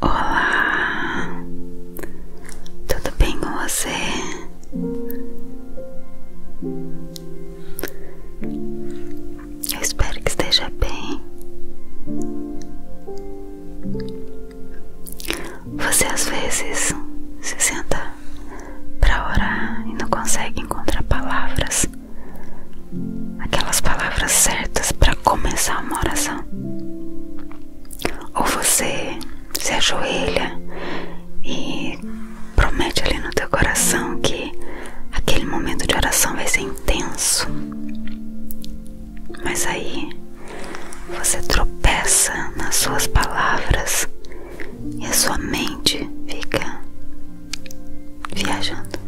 Olá, tudo bem com você? Eu espero que esteja bem. Você às vezes se senta para orar e não consegue encontrar palavras, aquelas palavras certas para começar uma oração. Ou você se ajoelha e promete ali no teu coração que aquele momento de oração vai ser intenso. Mas aí você tropeça nas suas palavras e a sua mente fica viajando.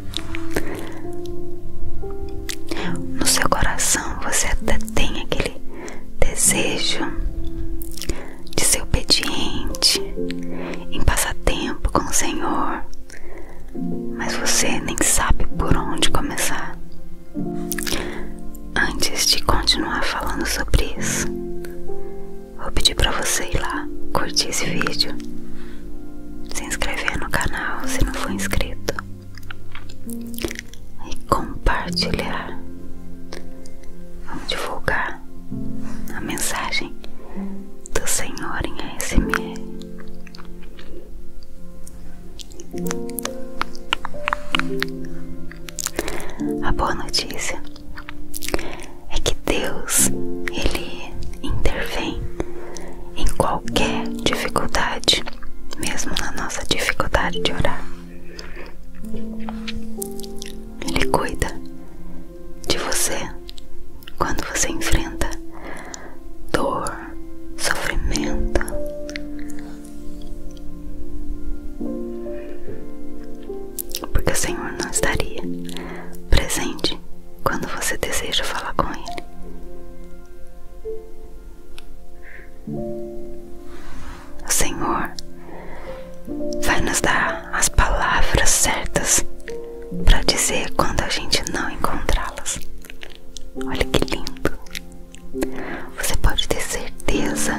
No seu coração você até tem aquele desejo de ser obediente, e passar tempo com o Senhor, mas você nem sabe por onde começar. Antes de continuar falando sobre isso, vou pedir para você ir lá curtir esse vídeo, se inscrever no canal se não for inscrito e compartilhar. Vamos divulgar a mensagem do Senhor em ASMR. A boa notícia é que Deus, ele intervém em qualquer dificuldade, mesmo na nossa dificuldade de orar. Ele cuida de você quando você enfrenta dor, sofrimento, porque o Senhor não estaria presente quando você deseja falar com Ele. O Senhor vai nos dar as palavras certas para dizer quando a gente não encontrá-las. Olha que lindo! Você pode ter certeza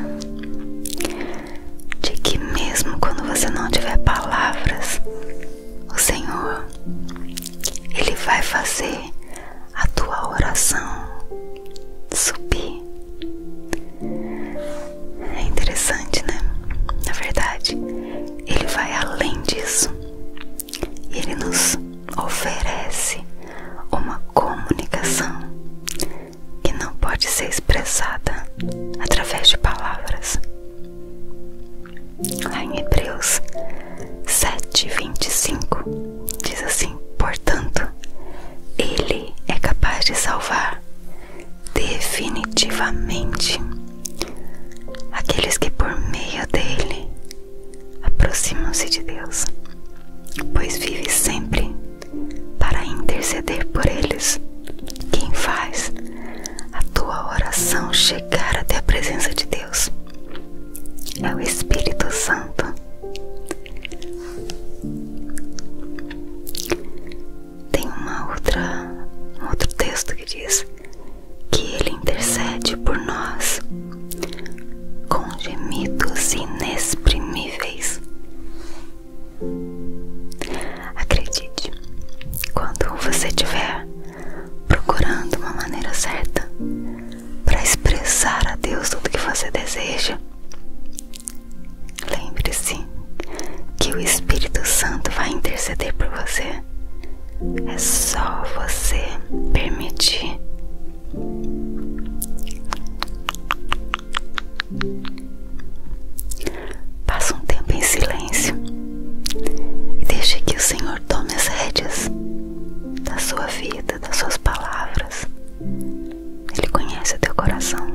de que, mesmo quando você não tiver palavras, o Senhor ele vai fazer a tua oração subir. É interessante, né? Na verdade, ele vai além disso. Ele nos oferece uma comunicação que não pode ser expressada através de palavras. Lá em Hebreus 7:25 diz assim: "Portanto, ele é capaz de salvar definitivamente aqueles que por meio dele aproximam-se de Deus, pois vive sempre para interceder por eles. Quem faz a tua oração chegar até a presença de Deus é o Espírito Santo. Tem uma outra, um outro texto que diz que ele intercede por nós com gemidos inexprimíveis. Acredite, quando você estiver procurando uma maneira certa para expressar a Deus tudo que você deseja, lembre-se que o Espírito Santo vai interceder por você. É só você permitir Passa um tempo em silêncio e deixe que o Senhor tome as rédeas da sua vida, das suas palavras. Ele conhece o teu coração.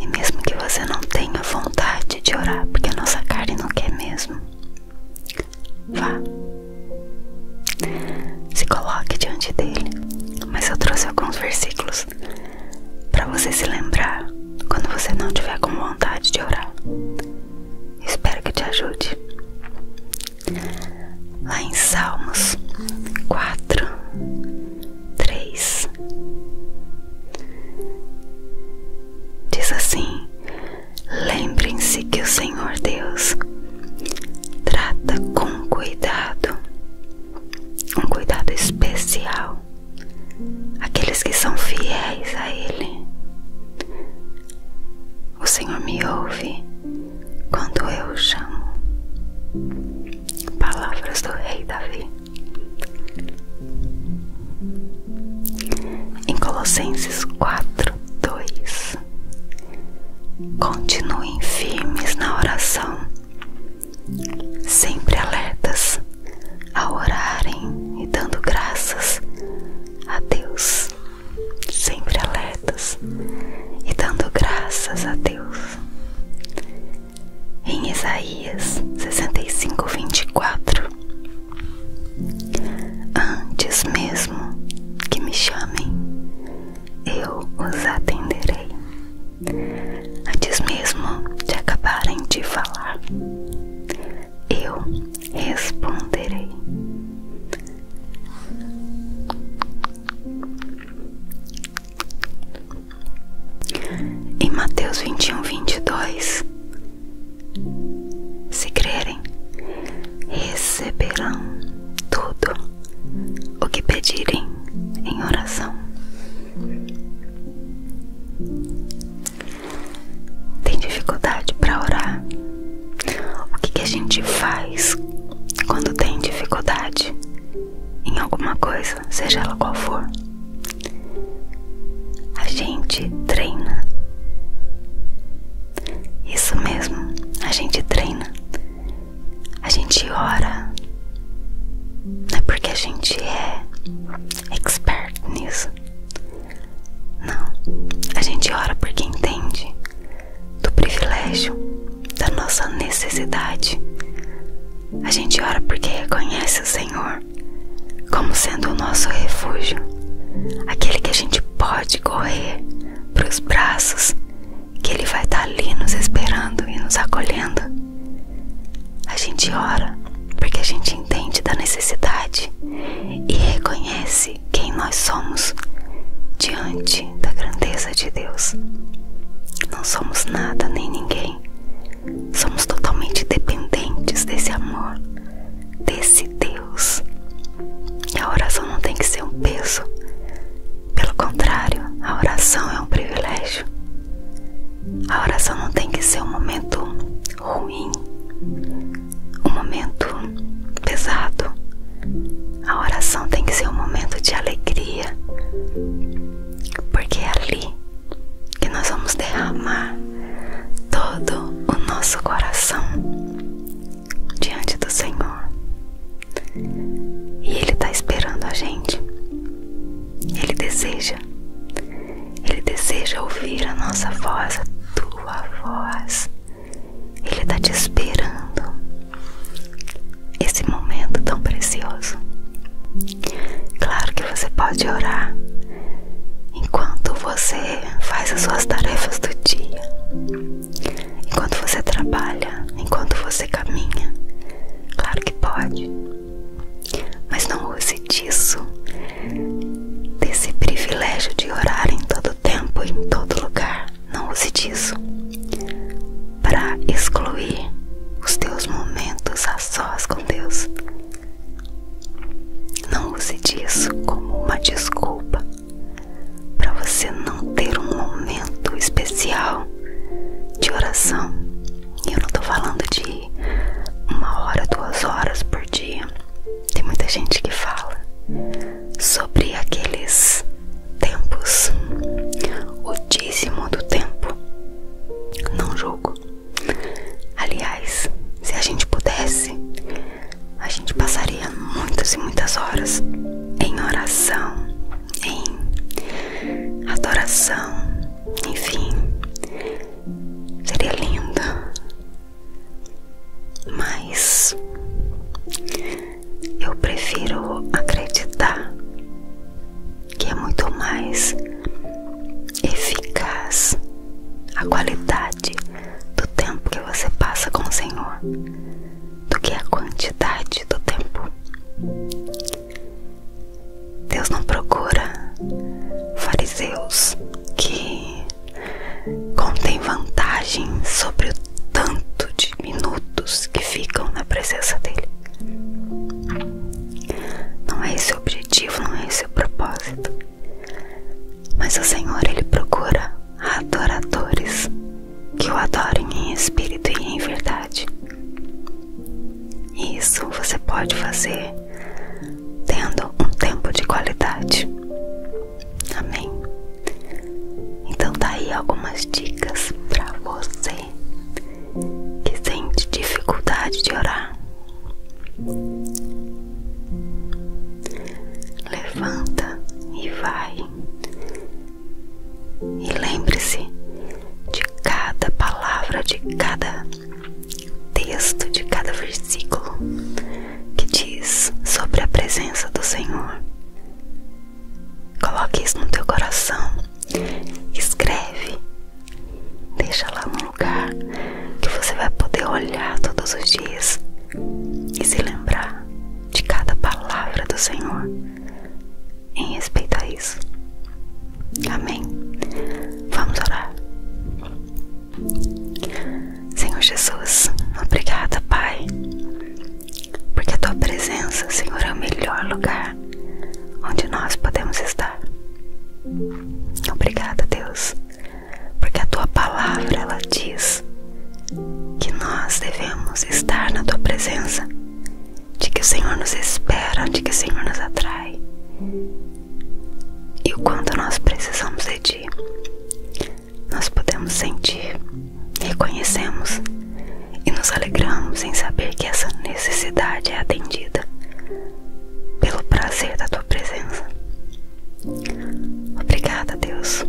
E mesmo que você não tenha vontade de orar, porque a nossa carne não quer mesmo, Vá. Se coloque diante dele. Mas eu trouxe alguns versículos para você se lembrar quando você não tiver com vontade de orar. Espero que te ajude. Lá em Salmos 4, 3, diz assim: Lembrem-se que o Senhor Deus trata com cuidado, um cuidado especial, aqueles que são fiéis a Ele. O Senhor me ouve quando eu chamo. Palavras do Rei Davi. Em Colossenses 4 4, 2. Continuem firmes na oração, sempre alertas a orarem e dando graças a Deus, sempre alertas e dando graças a Deus. Em Isaías 65, 24, Antes mesmo que me chamem, eu os atenderei. Antes mesmo de acabarem de falar, eu responderei. Em Mateus vinte vinte e um, e dois. Se crerem, receberão tudo o que pedirem em oração. Tem dificuldade para orar? O que, que a gente faz quando tem dificuldade em alguma coisa, seja ela qual for? A gente treina. Isso mesmo, a gente treina, a gente ora, não é porque a gente é expert nisso. Não, a gente ora porque entende do privilégio, da nossa necessidade. A gente ora porque reconhece o Senhor como sendo o nosso refúgio, aquele que a gente pode correr para os braços que Ele vai estar tá ali nos esperando e nos acolhendo. A gente ora porque a gente entende da necessidade e reconhece quem nós somos diante da grandeza de Deus. Não somos nada nem ninguém. Somos totalmente dependentes desse amor, desse de Deus. A oração não tem que ser um peso. Pelo contrário, a oração é um privilégio. A oração não tem que ser um momento ruim, um momento pesado. A oração tem que ser um momento de alegria, porque é ali que nós vamos derramar todo o nosso coração diante do Senhor. E Ele está esperando a gente. Ele deseja. Ele deseja ouvir a nossa voz, a tua voz. Ele está te esperando. Esse momento tão precioso. Claro que você pode orar enquanto você faz as suas tarefas do dia. Enquanto você trabalha, enquanto você caminha. Claro que pode. Mas não use disso, desse privilégio de orar em todo tempo, e em todo lugar. Não use disso para excluir os teus momentos a sós com Deus. Não use isso como uma desculpa para você não ter um momento especial de oração. E eu não tô falando de uma hora, duas horas por dia. Tem muita gente que fala sobre aqueles tempos, o dízimo do tempo. Não julgo. Aliás, se a gente pudesse, a gente passaria muitas e muitas horas em oração, em adoração, enfim, seria lindo, mas eu prefiro acreditar que é muito mais eficaz a qualidade do tempo que você passa com o Senhor do que a quantidade do tempo. Deus não procura fariseus que contem vantagem sobre o tanto de minutos que ficam na presença dele. Não é esse o objetivo, não é esse o propósito. Mas o Senhor ele procura adoradores que o adorem em espírito e em verdade. E isso você pode fazer tendo um tempo de qualidade. Amém. Então daí tá algumas dicas para você que sente dificuldade de orar. Levanta e vai. E lembre-se de cada palavra, de cada texto, de cada versículo que diz sobre a presença do Senhor. Coloque isso no teu coração. Escreve. Deixa lá um lugar que você vai poder olhar todos os dias e se lembrar de cada palavra do Senhor em respeito a isso. Amém. Vamos orar. Senhor Jesus, obrigada, Pai, porque a tua presença, Senhor, é o melhor lugar onde nós podemos estar. Obrigada, Deus porque a tua palavra ela diz que nós devemos estar na tua presença, de que o Senhor nos espera, de que o Senhor nos atrai e o quanto nós precisamos de ti. Nós podemos sentir, reconhecemos e nos alegramos em saber que essa necessidade é atendida pelo prazer da tua presença. Obrigada, Deus.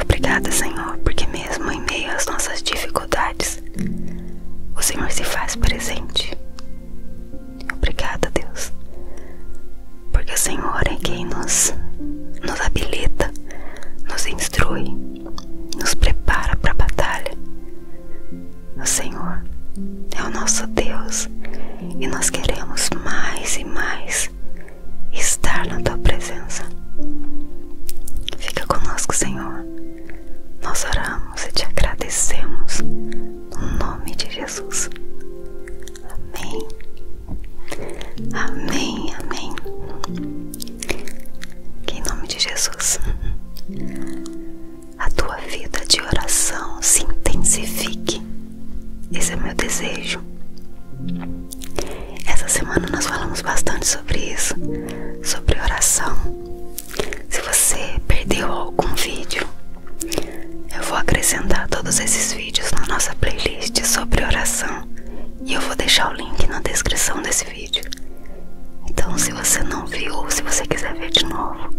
Obrigada, Senhor, porque mesmo em meio às nossas dificuldades, o Senhor se faz presente. Obrigada, Deus, porque o Senhor é quem nos, nos habilita, nos instrui, nos prepara para a batalha. O Senhor é o nosso Deus e nós queremos mais e mais estar na tua presença. Fica conosco, Senhor. Nós oramos e te agradecemos no nome de Jesus. Amém. Amém, amém. em nome de Jesus a tua vida de oração se intensifique esse é meu desejo. Essa semana nós falamos bastante sobre isso, sobre oração. Se você perdeu algum vídeo, eu vou acrescentar todos esses vídeos na nossa playlist sobre oração e eu vou deixar o link na descrição desse vídeo. Então, se você não viu ou se você quiser ver de novo,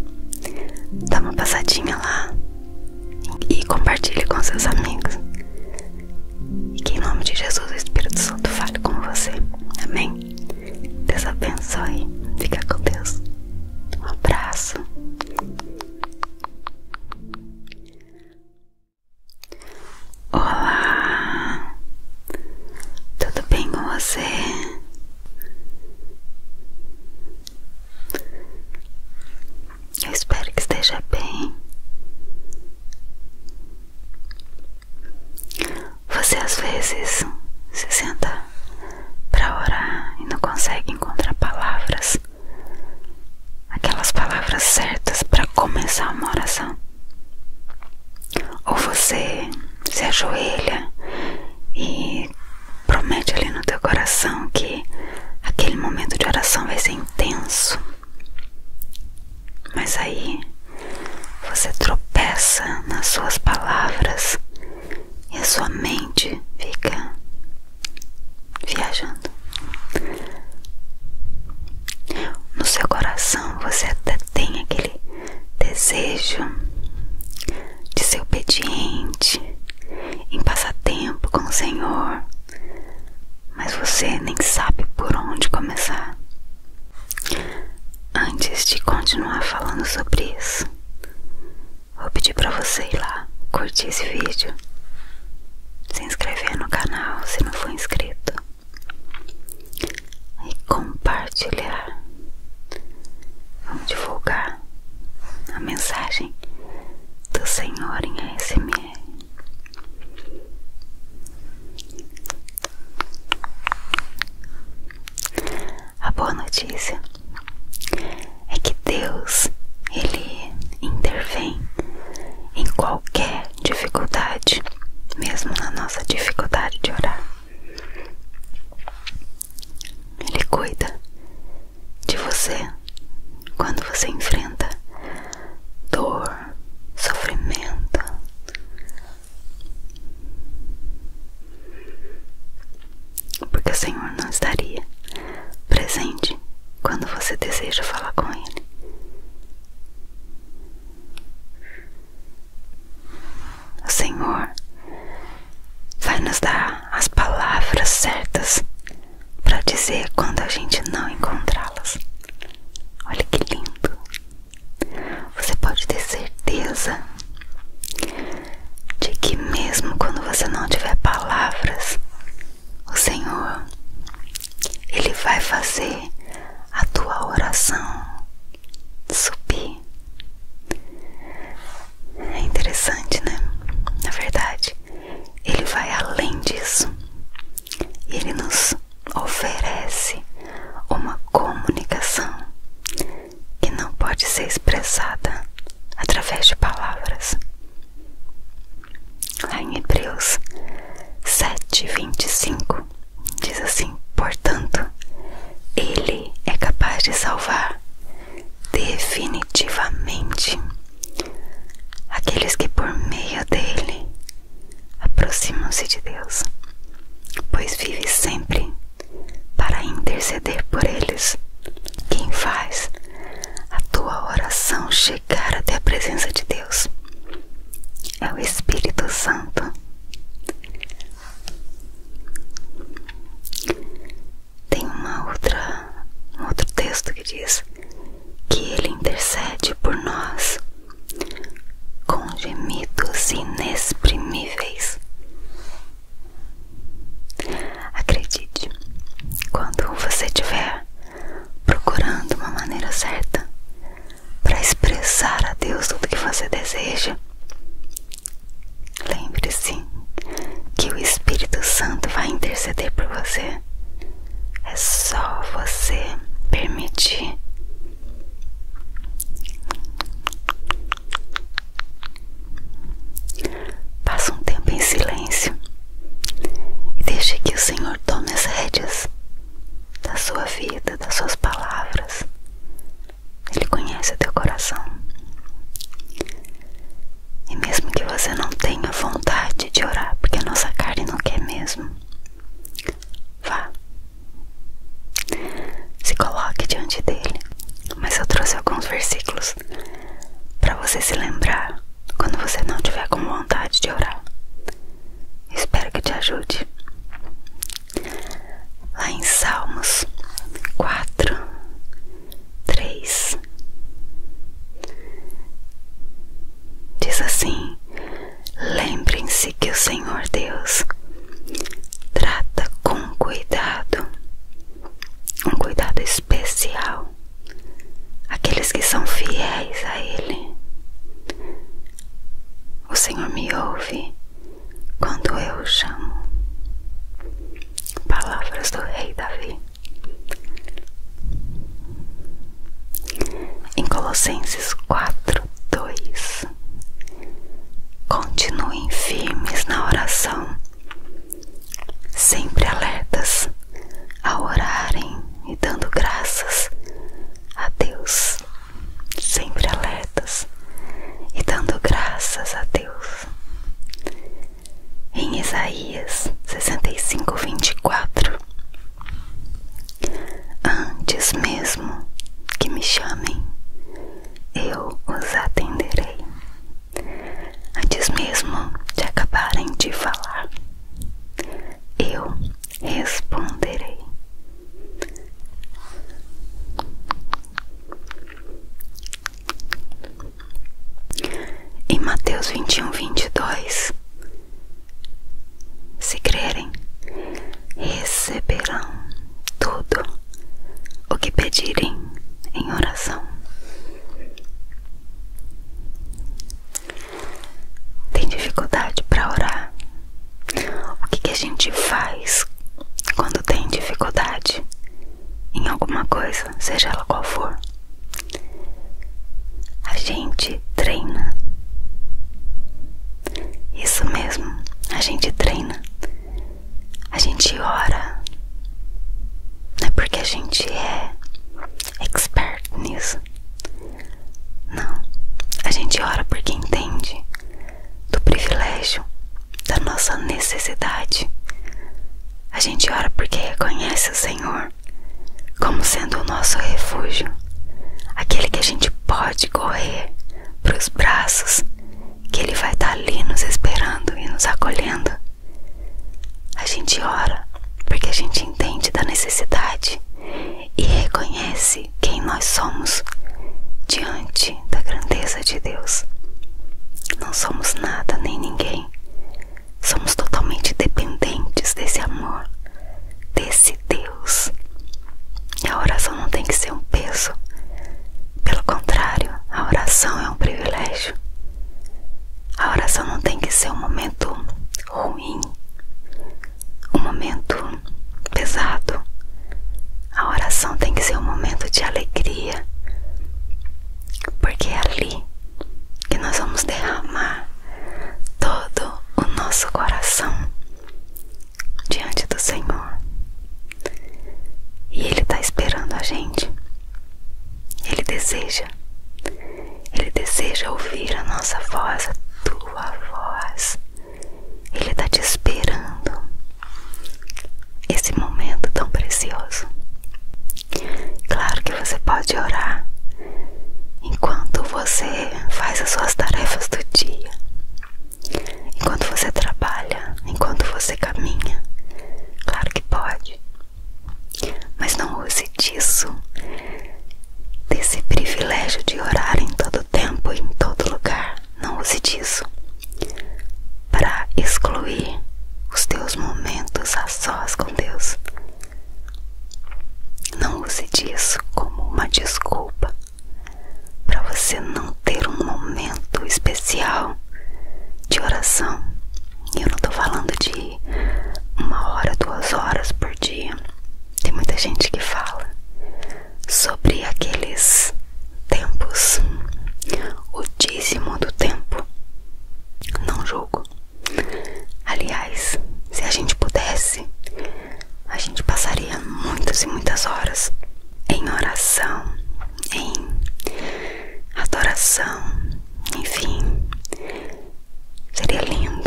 dá uma passadinha lá e compartilhe com seus amigos. E em nome de Jesus o Espírito Santo fale com você. Amém? Deus abençoe. Fica com Deus. Um abraço. Olá, tudo bem com você? Eu espero que esteja bem. Você às vezes se senta para orar e não consegue encontrar palavras, aquelas palavras certas para começar uma oração. Ou você se ajoelha e promete ali no teu coração que aquele momento de oração vai ser intenso. Mas aí você tropeça nas suas palavras e a sua mente fica viajando. No seu coração você até tem aquele desejo de ser obediente, em passar tempo com o Senhor, mas você nem sabe por onde começar. Antes de continuar falando sobre isso, vou pedir para você ir lá curtir esse vídeo, se inscrever no canal se não for inscrito e compartilhar. Vamos divulgar a mensagem do Senhor em ASMR. A boa notícia é que Deus ele intervém em qualquer dificuldade, mesmo na nossa dificuldade de orar. Ele cuida de você quando você enfrenta dor, sofrimento. Porque o Senhor não estaria presente quando você deseja falar com Ele. O Senhor vai nos dar as palavras certas para dizer quando a gente não encontrá-las. Olha que lindo! Você pode ter certeza de que, mesmo quando você não tiver palavras, o Senhor ele vai fazer a tua oração subir. É interessante, né? Na verdade, ele vai além disso. Ele nos oferece uma comunicação que não pode ser expressada através de palavras. Lá em Hebreus 7:25 diz assim: "Portanto, ele é capaz de salvar definitivamente aqueles que por meio dele aproximam-se de Deus, pois vive sempre para interceder por eles. Quem faz a tua oração chegar até a presença de Deus é o Espírito Santo tem uma outra, um outro texto que diz que ele intercede por nós com gemidos inexprimíveis. Acredite, quando você estiver procurando uma maneira certa para expressar a Deus tudo que você deseja, Lembre-se que o Espírito Santo vai interceder por você. É só você permitir. Passa um tempo em silêncio e deixe que o Senhor tome as rédeas da sua vida, das suas palavras, ele conhece o teu coração. E mesmo que você não tenha vontade de orar, porque a nossa carne não quer mesmo, vá. Se coloque diante dele. Mas eu trouxe alguns versículos para você se lembrar quando você não tiver com vontade de orar. Espero que te ajude. Lá em Salmos 4, 3 Diz assim: Lembrem-se que o Senhor Deus trata com cuidado, um cuidado especial, aqueles que são fiéis a Ele. O Senhor me ouve quando eu chamo. Palavras do rei Davi. Em Colossenses 4, 2. Continuem firmes na oração, sempre alertas ao orarem e dando graças a Deus. Sempre alertas e dando graças a Deus. Em Isaías sessenta e cinco vinte e quatro, Antes mesmo que me chamem, eu os atenderei. Antes mesmo de acabarem de falar, eu responderei. Em Mateus 21, 22, se crerem, receberão tudo o que pedirem em oração. Tem dificuldade para orar? O que, que a gente faz quando tem dificuldade? em alguma coisa, seja ela qual for, a gente treina. Isso mesmo, a gente treina, a gente ora. Não é porque a gente é expert nisso. Não, a gente ora porque entende do privilégio da nossa necessidade. A gente ora porque reconhece o Senhor como sendo o nosso refúgio, aquele que a gente pode correr para os braços, que Ele vai estar tá ali nos esperando e nos acolhendo. A gente ora porque a gente entende da necessidade e reconhece quem nós somos diante da grandeza de Deus. Não somos nada nem ninguém. Somos totalmente dependentes desse amor, desse Deus. E a oração não tem que ser um peso. Pelo contrário, a oração é um privilégio. A oração não tem que ser um momento ruim, um momento pesado, a oração tem que ser um momento de alegria, porque é ali que nós vamos derramar todo o nosso coração diante do Senhor. E Ele está esperando a gente. Ele deseja. Ele deseja ouvir a nossa voz, a tua voz. Ele está te esperando esse momento tão precioso. Claro que você pode orar enquanto você faz as suas tarefas do dia, enquanto você trabalha, enquanto você caminha. Claro que pode, mas não use disso, desse privilégio de orar em todo tempo, e em todo lugar. Não use disso para excluir os teus momentos a sós com Deus. Não use disso como uma desculpa para você não ter um momento especial de oração. Eu não estou falando de uma hora, duas horas por dia. Tem muita gente que fala sobre aqueles tempos, o dízimo do tempo. Não julgo. Aliás, se a gente pudesse, a gente passaria muitas e muitas horas em oração, em adoração, enfim, seria lindo.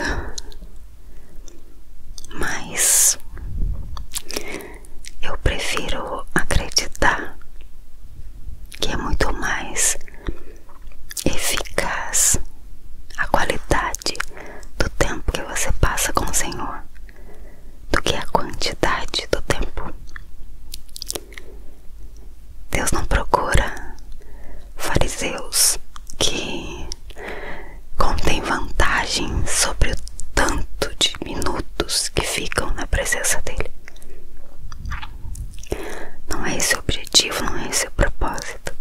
Mas eu prefiro acreditar que é muito mais eficaz a qualidade do tempo que você passa com o Senhor do que a quantidade do tempo. Deus não procura fariseus que contêm vantagem sobre o tanto de minutos que ficam na presença dele. Não é esse o objetivo, não é esse o propósito.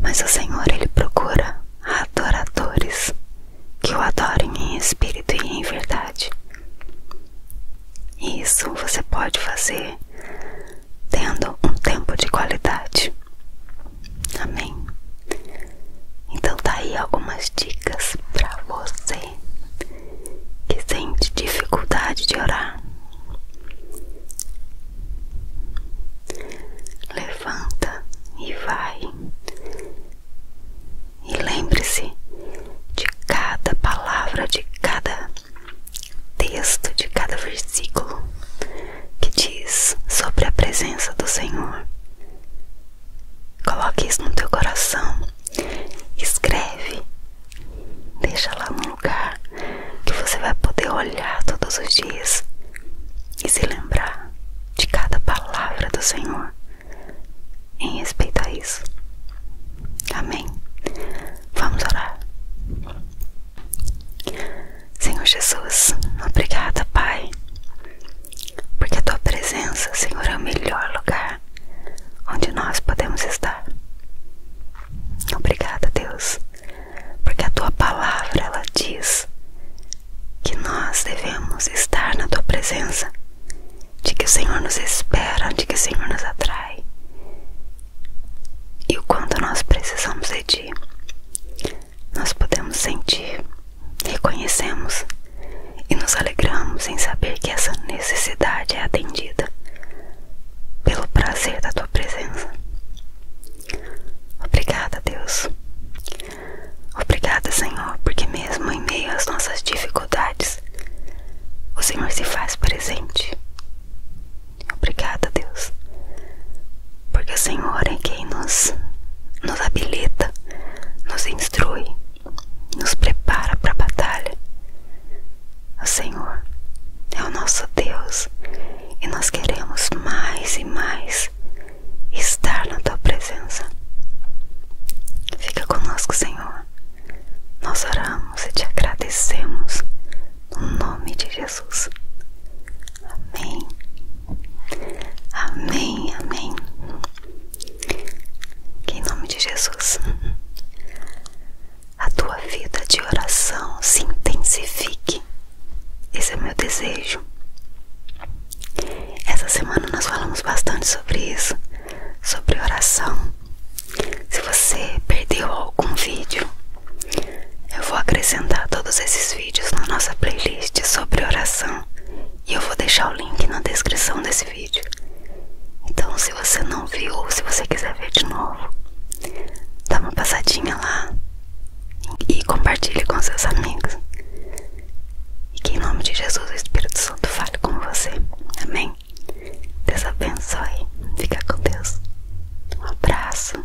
Mas o Senhor, Ele procura adoradores que o adorem em espírito e em verdade. E isso você pode fazer tendo um tempo de qualidade. Amém. Então tá aí algumas dicas para você que sente dificuldade de orar, levanta e vai. E lembre-se de cada palavra, de cada texto, de cada versículo que diz sobre a presença do Senhor. Coloque isso no teu coração. Escreve. Deixa lá num lugar que você vai poder olhar todos os dias e se lembrar de cada palavra do Senhor em respeito a isso. Amém. Vamos orar. Senhor Jesus, obrigada, Pai, porque a tua presença, Senhor, é o melhor lugar onde nós podemos estar. Obrigada, Deus, porque a tua palavra ela diz que nós devemos estar na tua presença, de que o Senhor nos espera, de que o Senhor nos atrai. E o quanto nós precisamos de ti. Nós podemos sentir, reconhecemos e nos alegramos em saber que essa necessidade é atendida pelo prazer da tua presença. Obrigada, Deus. Obrigada, Senhor, porque mesmo em meio às nossas dificuldades, o Senhor se faz presente. Obrigada, Deus, porque o Senhor é quem nos, nos habilita, nos instrui nos prepara para a batalha. O Senhor é o nosso Deus e nós queremos mais e mais estar na tua presença. Fica conosco, Senhor. Nós oramos e te agradecemos no nome de Jesus. Amém. Amém, amém em nome de Jesus a tua vida de oração se intensifique. Esse é meu desejo. Essa semana nós falamos bastante sobre isso, sobre oração. Se você perdeu algum vídeo, eu vou acrescentar todos esses vídeos na nossa playlist sobre oração e eu vou deixar o link na descrição desse vídeo. Então, se você não viu ou se você quiser ver de novo, dá uma passadinha lá e compartilhe com seus amigos. E que em nome de Jesus, o Espírito Santo fale com você. Amém? Deus abençoe. Fica com Deus. Um abraço.